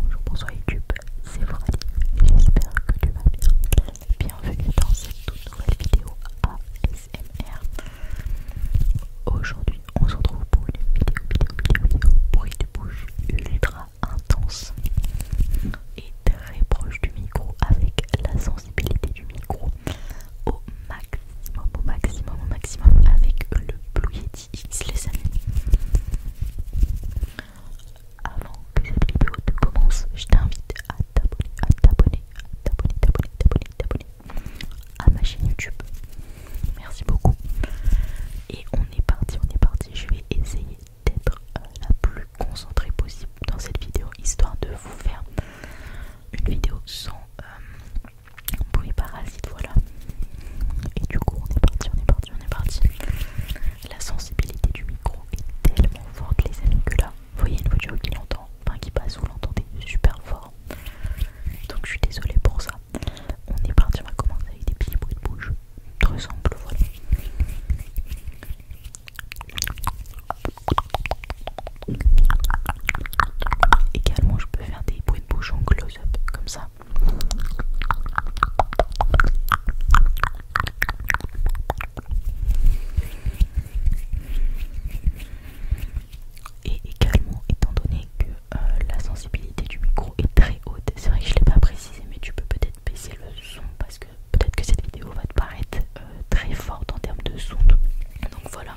Bonjour, bonsoir YouTube, c'est Frali, j'espère que tu vas bien. Bienvenue dans cette toute nouvelle vidéo ASMR. Aujourd'hui, on se retrouve pour une vidéo, vidéo, vidéo, vidéo bruit de bouche ultra intense et très proche du micro avec la sensibilité du micro au maximum, au maximum, au maximum avec le boulier les amis Avant que cette vidéo ne commence, je t'invite à t'abonner, à t'abonner, à t'abonner, à ma chaîne YouTube. Merci beaucoup. Et on est parti, on est parti. Je vais essayer d'être euh, la plus concentrée possible dans cette vidéo, histoire de vous faire une vidéo sans... Euh, bruit parasite, voilà. Et du coup, on est parti, on est parti, on est parti. La sensibilité du micro est tellement forte, les amis, que là, vous voyez une voiture qui l'entend, enfin qui passe, vous l'entendez super fort. Donc, je suis désolée pour ça. On est parti, on va commencer avec des petits bruits de bouche. Très simple, voilà. Également, je peux faire des bruits de bouche en close-up comme ça. Et également, étant donné que euh, la sensibilité du micro est très haute, c'est vrai que je ne l'ai pas précisé, mais tu peux peut-être baisser le son parce que peut-être que cette vidéo va te paraître euh, très forte en termes de son. Donc voilà.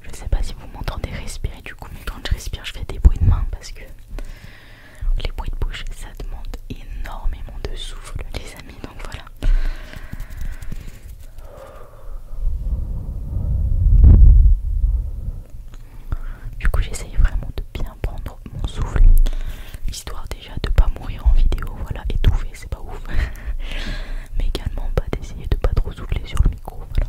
Je sais pas si vous m'entendez respirer du coup, mais quand je respire, je fais des bruits de main parce que les bruits de bouche ça demande énormément de souffle, les amis. Donc voilà. Du coup, j'essaye vraiment de bien prendre mon souffle, histoire déjà de pas mourir en vidéo, voilà, étouffé, c'est pas ouf. Mais également, pas bah, d'essayer de pas trop souffler sur le micro, voilà.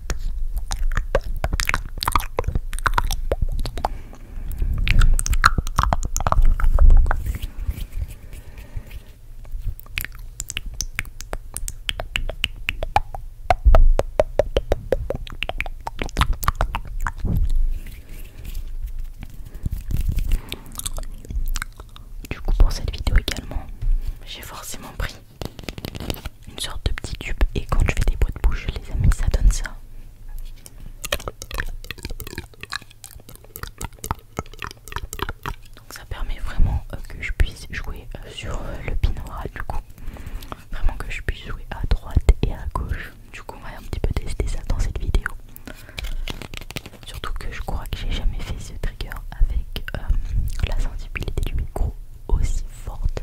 Du coup pour cette vidéo également, j'ai forcément pris une sorte de petit tube et quand je fais des boîtes de bouche les amis ça donne ça donc ça permet vraiment euh, que je puisse jouer euh, sur euh, le binaural du coup vraiment que je puisse jouer à droite et à gauche du coup on va un petit peu tester ça dans cette vidéo surtout que je crois que j'ai jamais fait ce trigger avec la sensibilité du micro aussi forte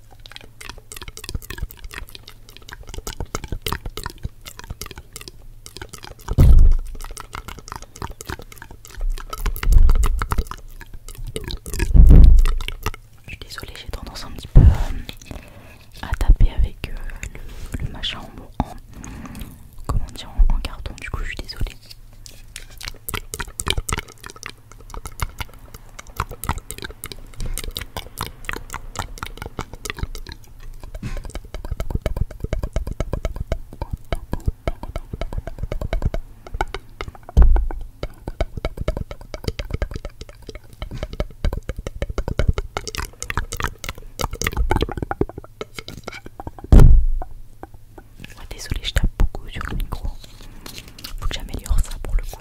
Je suis désolée, j'ai tendance un petit peu euh, à taper avec euh, le, machin en, comment dire en carton. Du coup, je suis désolée. Désolée désolé je tape beaucoup sur le micro. Faut que j'améliore ça pour le coup.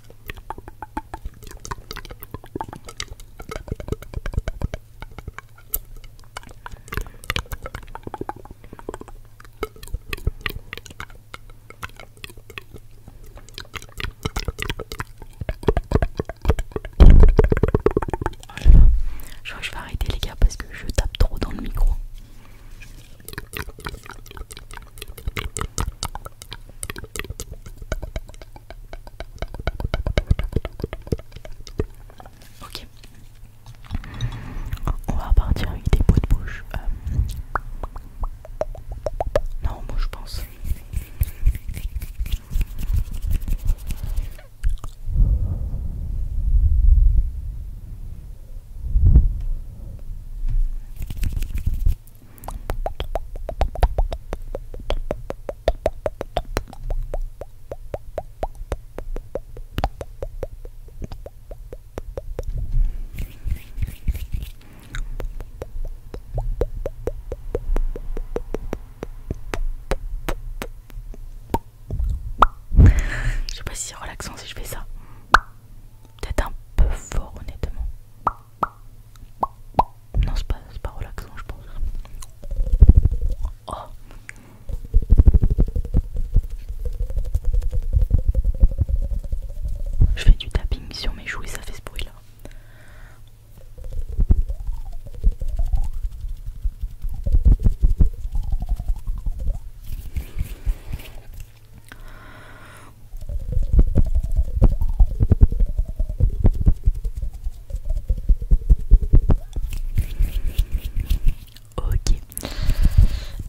Je crois que je vais arrêter les gars parce que je tape trop dans le micro. Ok. On va partir avec des pots de bouche. Euh. Non, moi je pense. Je sais pas si relaxant si je fais ça. Peut-être un peu fort honnêtement. Non, c'est pas, pas relaxant, je pense. Oh. Je fais du tapping sur mes joues et ça fait ce bruit là. Ok.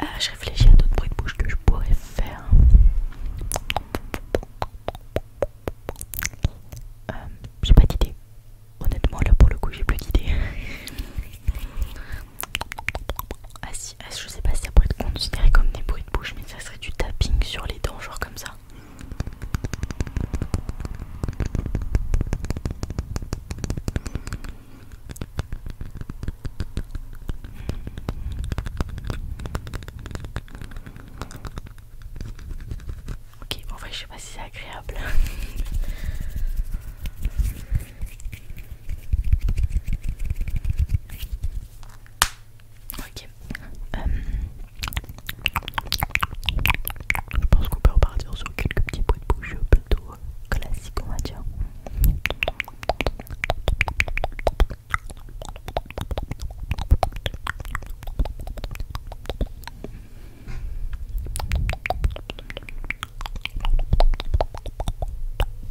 Euh, je réfléchis à d'autres bruits de bouche que je pourrais faire. Euh, j'ai pas d'idée. Honnêtement, là pour le coup, j'ai plus d'idée. Ah si, ah, je sais pas si ça pourrait être considéré comme des bruits de bouche, mais ça serait du tapping sur les dents, genre comme ça. Ok, en vrai, je sais pas si c'est agréable. Ok. Euh, je pense qu'on peut repartir sur quelques petits bruits de bouche plutôt classiques, on va dire.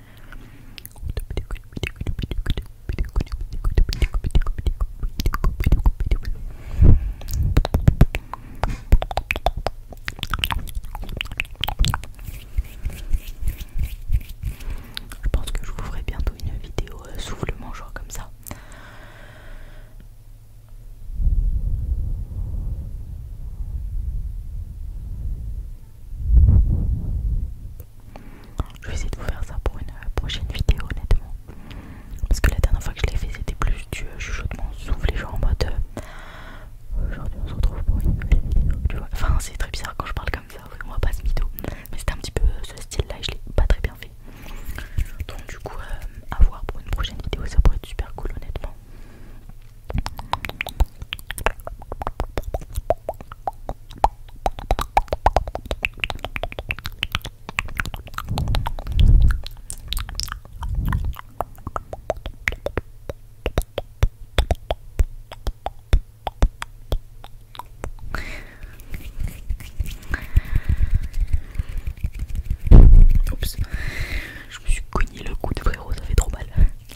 Je pense que je vous ferai bientôt une vidéo souffle euh, soufflement, genre comme ça. Je vais essayer de vous faire ça pour une euh, prochaine vidéo, honnêtement. Parce que la dernière fois que je l'ai fait, c'était plus du euh, chuchotement soufflé, genre en mode euh, aujourd'hui on se retrouve pour une nouvelle vidéo, tu vois. Enfin, c'est très bizarre quand je parle comme ça, on voit pas se mytho. Mais c'était un petit peu ce style là et je l'ai pas très bien fait. Donc, du coup, à voir pour une prochaine vidéo, ça pourrait être super cool, honnêtement. Oups, je me suis cogné le coup de frérot, ça fait trop mal.